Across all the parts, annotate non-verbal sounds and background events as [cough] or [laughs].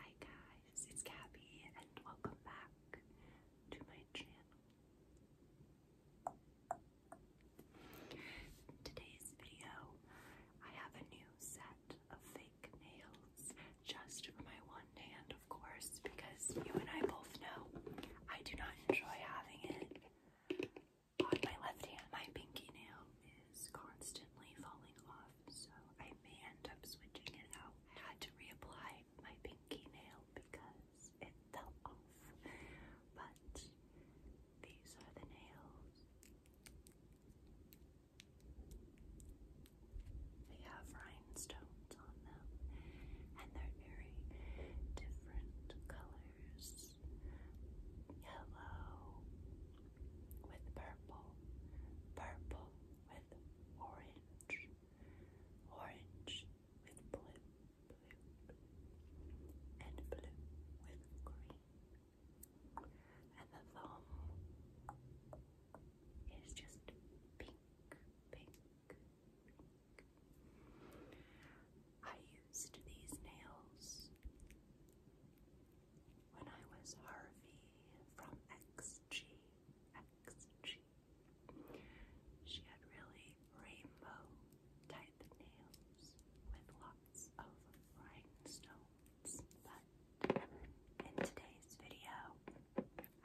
Hi guys, it's Gabby and welcome back to my channel. Today's video, I have a new set of fake nails just for my one hand, of course, because you and I both know I do not enjoy having it on my left hand, my pinky nail is constantly falling off, so I may end up switching it out. I had to reapply my pinky nail because it fell off, but these are the nails. They have rhinestones on them, and they're very different colors yellow with purple, purple with orange, orange with blue, blue, and blue with green. And the thumb is just pink, pink, pink. I used these nails when I was Harvey from XG, XG. She had really rainbow type nails with lots of rhinestones. But in today's video,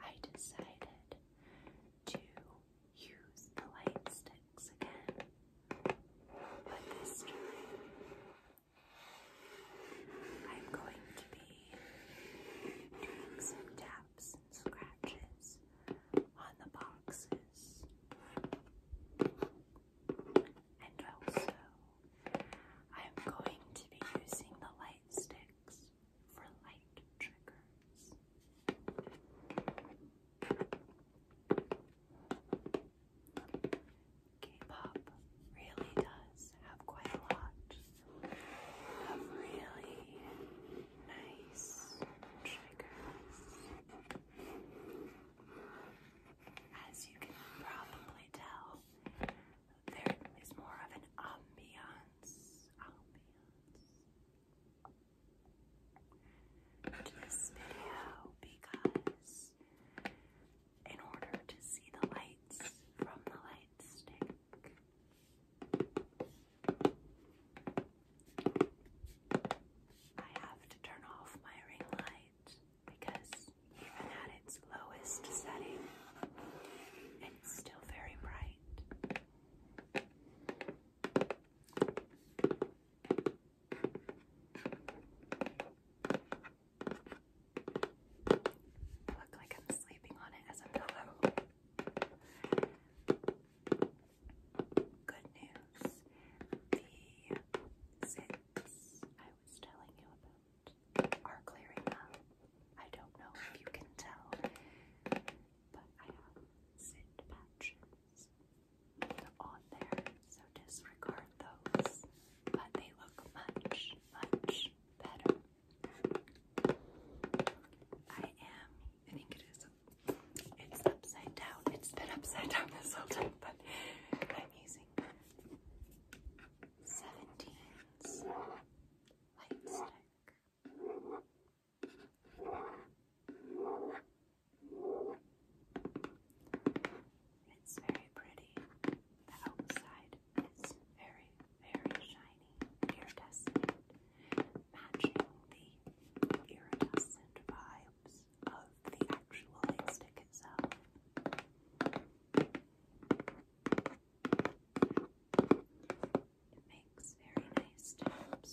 I decided to use the light sticks again. But this time, I'm going to be doing some taps and scratches on the boxes. And also, I'm going to be using the light sticks for light triggers. K-pop really does have quite a lot of really nice triggers. As you can probably tell, there is more of an ambiance, ambiance to this video because in order to see the lights from the light stick. I have to turn off my ring light because even at its lowest setting, it's still very bright. Look like I'm sleeping on it as a pillow. Good news. The zips I was telling you about are clearing up. I don't know if you can tell, but I have zit patches on there, so disregard those. But they look much, much better. I am, I think it is, it's upside down. It's been upside down this whole time, but I'm using 17's light stick. It's very pretty. The outside is very, very shiny, iridescent, matching the iridescent vibes of the actual light itself. It makes very nice taps.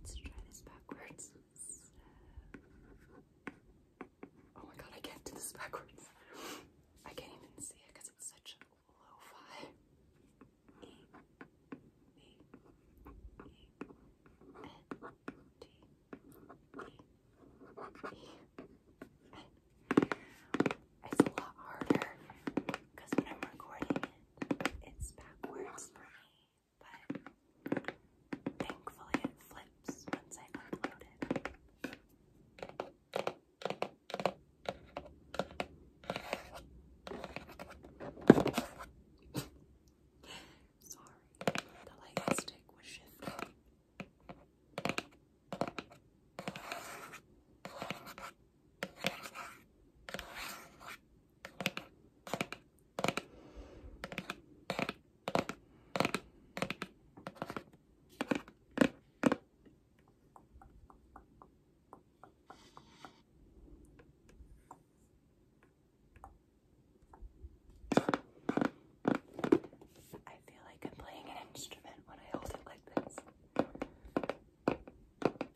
Let's try this backwards. Oh my god, I can't do this backwards. I can't even see it because it's such a low five it's a lot harder because when I'm recording it, it's backwards for me, but thankfully it flips once I upload it. Sorry, the light stick was shifting. I feel like I'm playing an instrument when I hold it like this.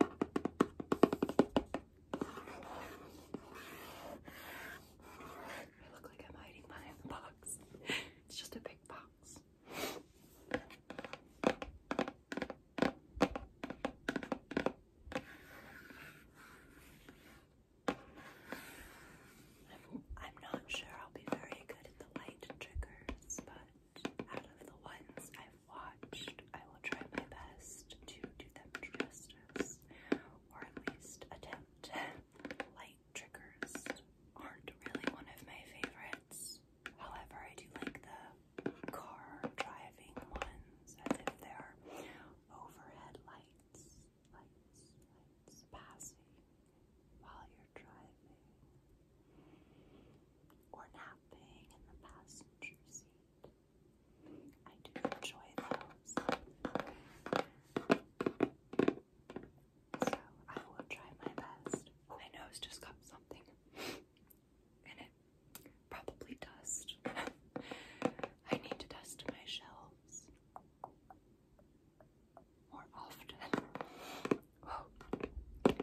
I look like I'm hiding behind the box. [laughs] It's just a big box. I'm, not sure I'll be very good at the light triggers, but out of the ones I've watched, I will try my best to do them justice, or at least attempt. [laughs] Light triggers aren't really one of my favorites. However, I do like the car driving ones, as if they're overhead lights, lights, lights passing while you're driving or napping in the passenger seat. I do enjoy those. So I will try my best. My nose just got something in it. Probably dust. [laughs] I need to dust my shelves more often. Whoa. But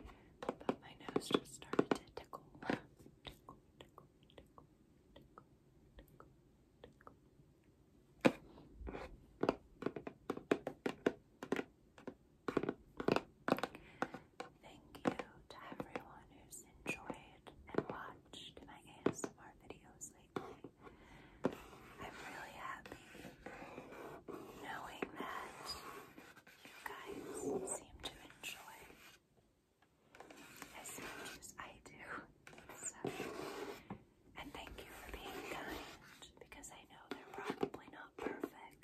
my nose just started to tickle. tickle, tickle, tickle, tickle, tickle, tickle. Thank you to everyone who's enjoyed and watched my ASMR videos lately. I'm really happy knowing that you guys seem to enjoy. As much as I do. So, and thank you for being kind because I know they're probably not perfect.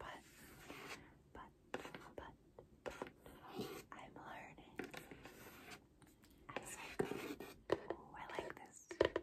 But, but, but, I'm learning Oh, I like this.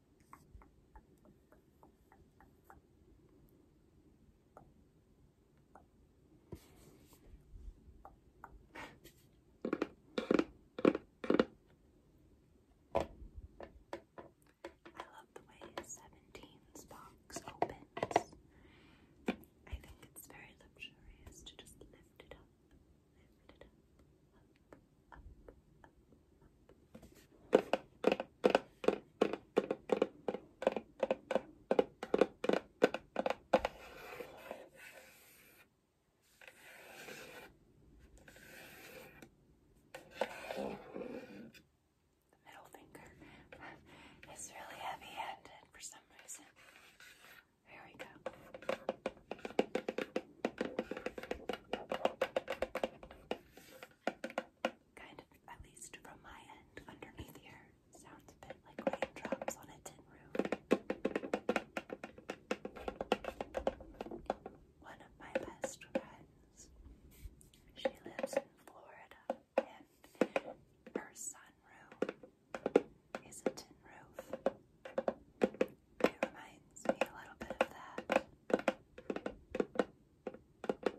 I love the way 17's box opens. I think it's very luxurious to just lift it up. The middle finger is really heavy handed for some reason. There we go kind of, at least from my end, underneath here. Sounds a bit like raindrops on a tin roof. One of my best friends, she lives in Florida, and her sunroom is a tin roof. It reminds me a little bit of that. Focus the long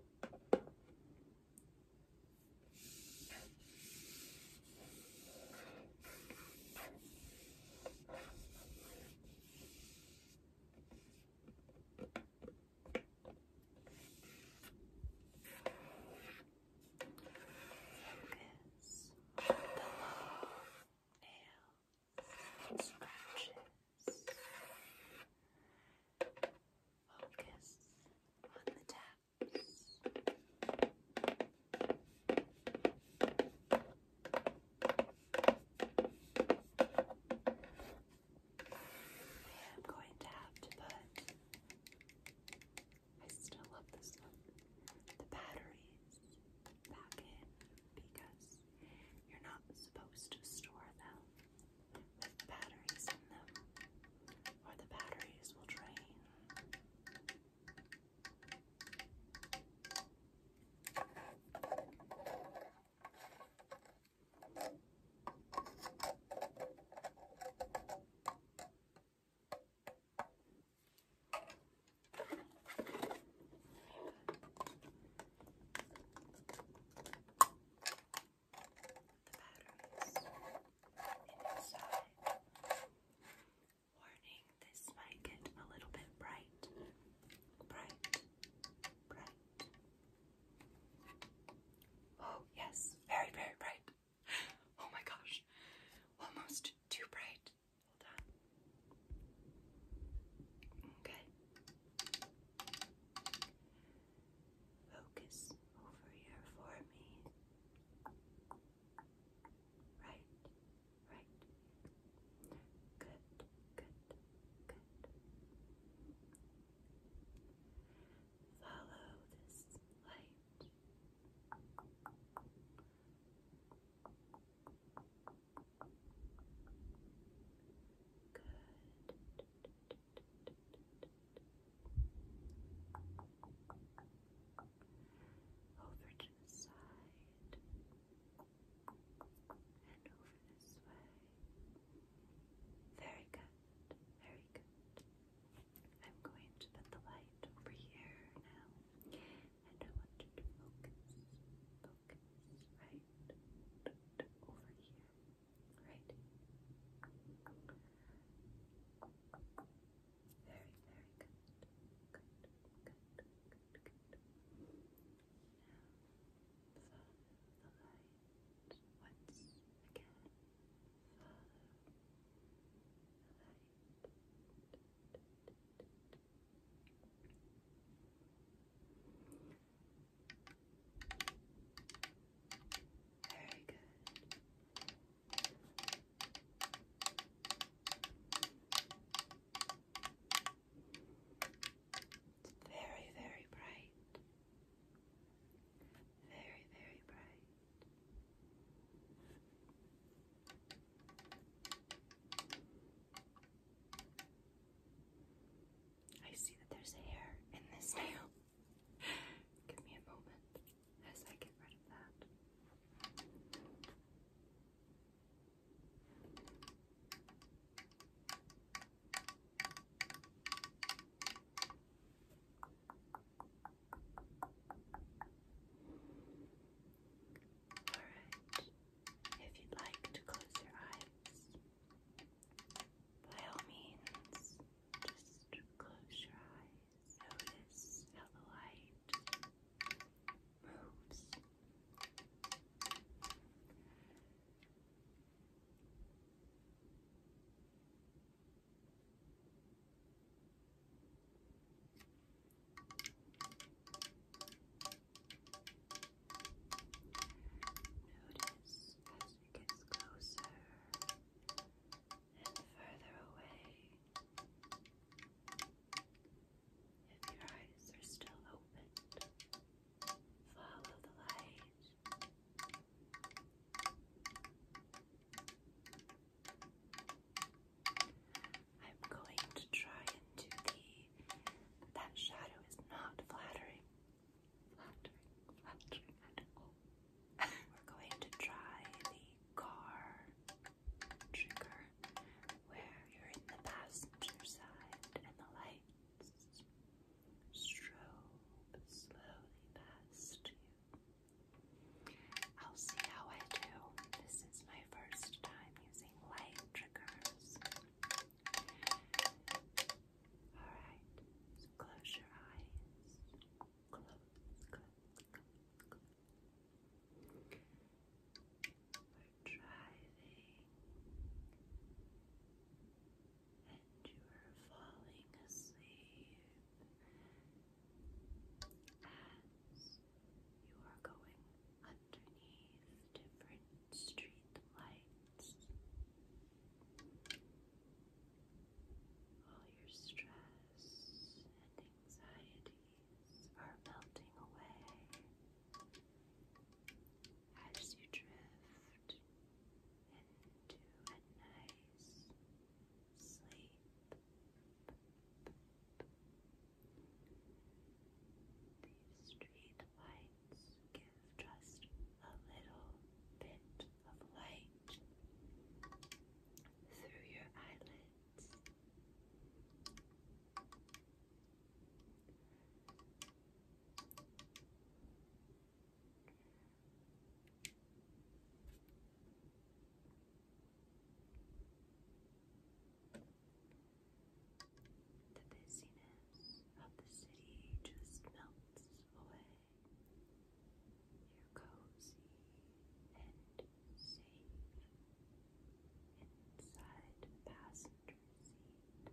nail scratches. Focus on the taps. I'm going to have to put. I still love this one. The batteries back in because you're not supposed to store them with batteries in them, or the batteries will drain. Warning, this might get a little bit Bright. Oh, yes, very, very bright. [gasps] Oh my gosh, almost too bright. Hold on. Okay. Focus over here for me. Right, right. Good, good, good. Follow this light. Over to the side and over this way. Very good, very good. I'm going to put the light over here now and I want you to focus, focus right over here, right? Very, very good, good, good, good, good. Now the light once again. the light. Very good. very, very bright. Very, very bright. I see that there's hair in this nail. [laughs] Give me a moment as I get rid of that. All right. If you'd like to close your eyes, by all means, just close your eyes. Notice how the light moves. Notice as it gets closer and further away if your eyes are still open. Follow the light. I'm going to try and the. That shadow is not flattering. We're going to try the car trigger where you're in the passenger side and the lights strobe slowly past you. I'll see how I do. This is my first time using White triggers. Alright, close your eyes. We're driving, and you are falling asleep you are going underneath different street All your stress and anxieties are melting away as you drift into a nice sleep. These street give just a little bit of light through your eyelids. The busyness of the city just melts away. You're cozy and safe inside passenger seat. You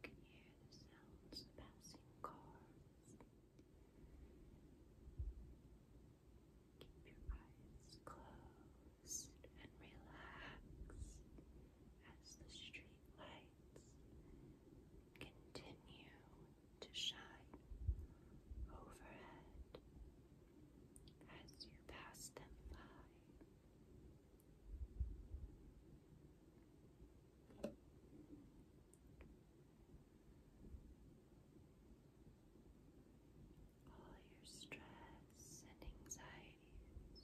can hear the sounds of passing cars. Keep your eyes closed and relax as the street lights continue to shine overhead as you pass them by. All your stress and anxieties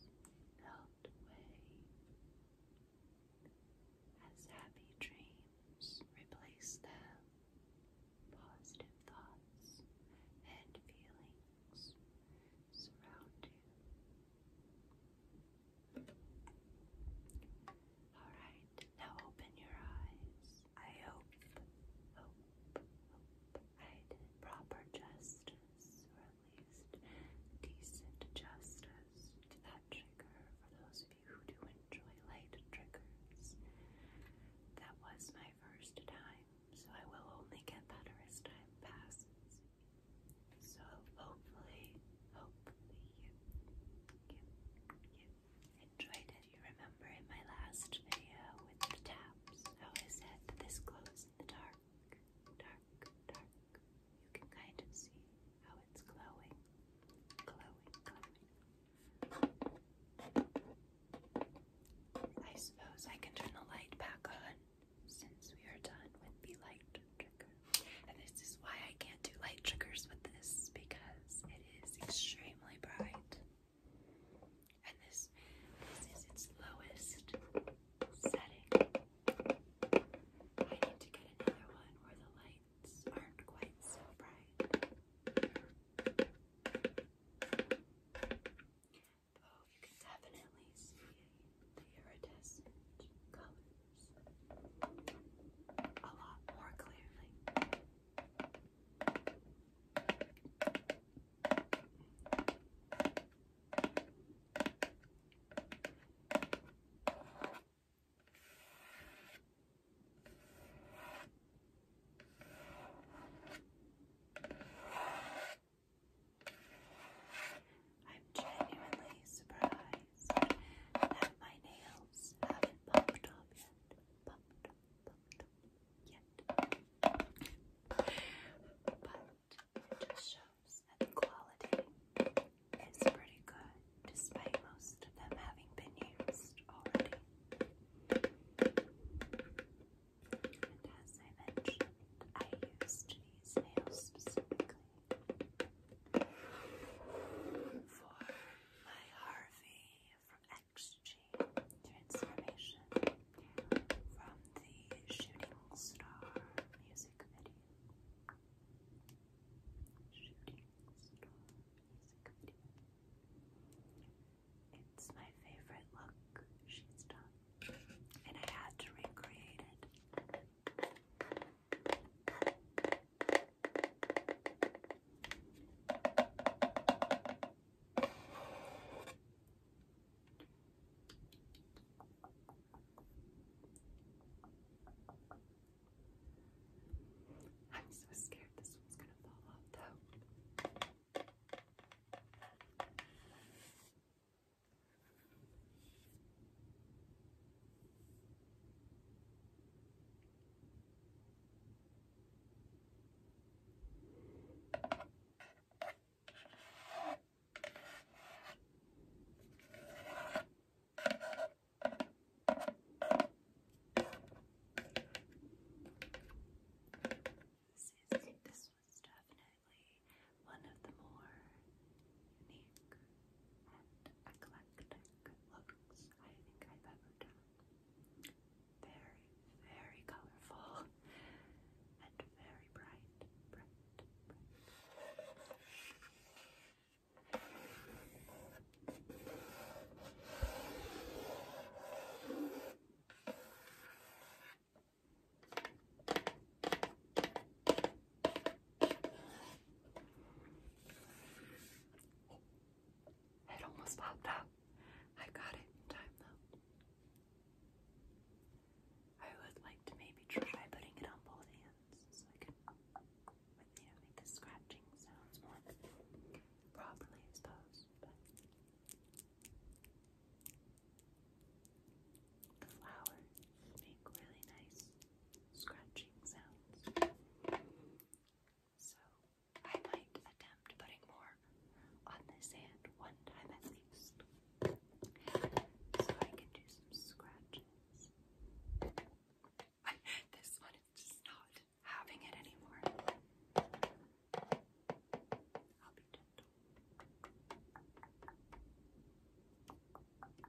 melt away as happy dreams replace them, positive thoughts and feelings surround you. All right, now open your eyes. I hope, hope, hope I did proper justice, or at least decent justice to that trigger for those of you who do enjoy light triggers. That was my first time, so I will only get better as time passes. So hopefully, hopefully you, you, you enjoyed it. You remember in my last video with the taps I said that this glows in the dark, dark, dark. You can kind of see how it's glowing, glowing, glowing. I suppose I can turn the light back on since we are done with the light trigger. And this is why I can't do light triggers with this because it is extremely bright. And this, this is its lowest setting. I need to get another one where the lights aren't quite so bright. Oh, you can definitely see the iridescent colors a lot more clearly. I'm genuinely surprised surprised that my nails haven't popped off yet. But it just shows that the quality is pretty good, despite most of them having been used already. And as I mentioned, I used these nails specifically for by Harvey from XG Transformation from the Shooting Star music video. Shooting Star music video. It's my favorite look she's done, and I had to recreate it. I'm so scared this one's gonna fall off though. This is was definitely one of the more unique and eclectic looks I think I've ever done. Very, very colorful [laughs] and very bright, it almost popped up. I got it in time though. I would like to maybe try putting it on both hands so I can you know, make the scratching sounds more properly, I suppose. But the really nice scratching sounds. So I might attempt putting more on this hand one time at least. So I can do some scratches. [laughs] this one is just not having it anymore. I'll be gentle.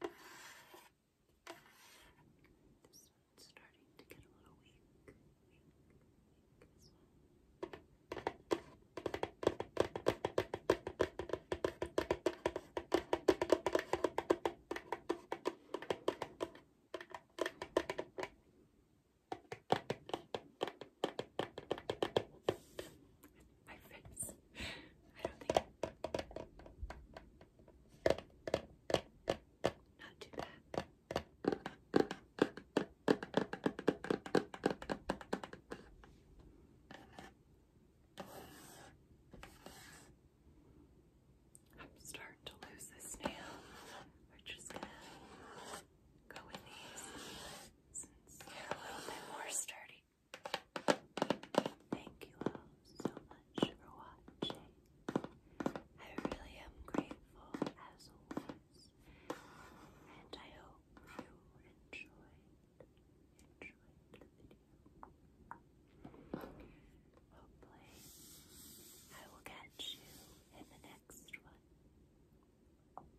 This one's starting to get a little weak. Weak, weak, this one. I my face. I don't think. Not too bad. I'm starting to lose this nail. We're just gonna go with these since they're a little bit more sturdy. Thank you all so much for watching. I really am grateful as always, and I hope you enjoyed enjoyed the video. Hopefully, I will catch you in the next one. Bye.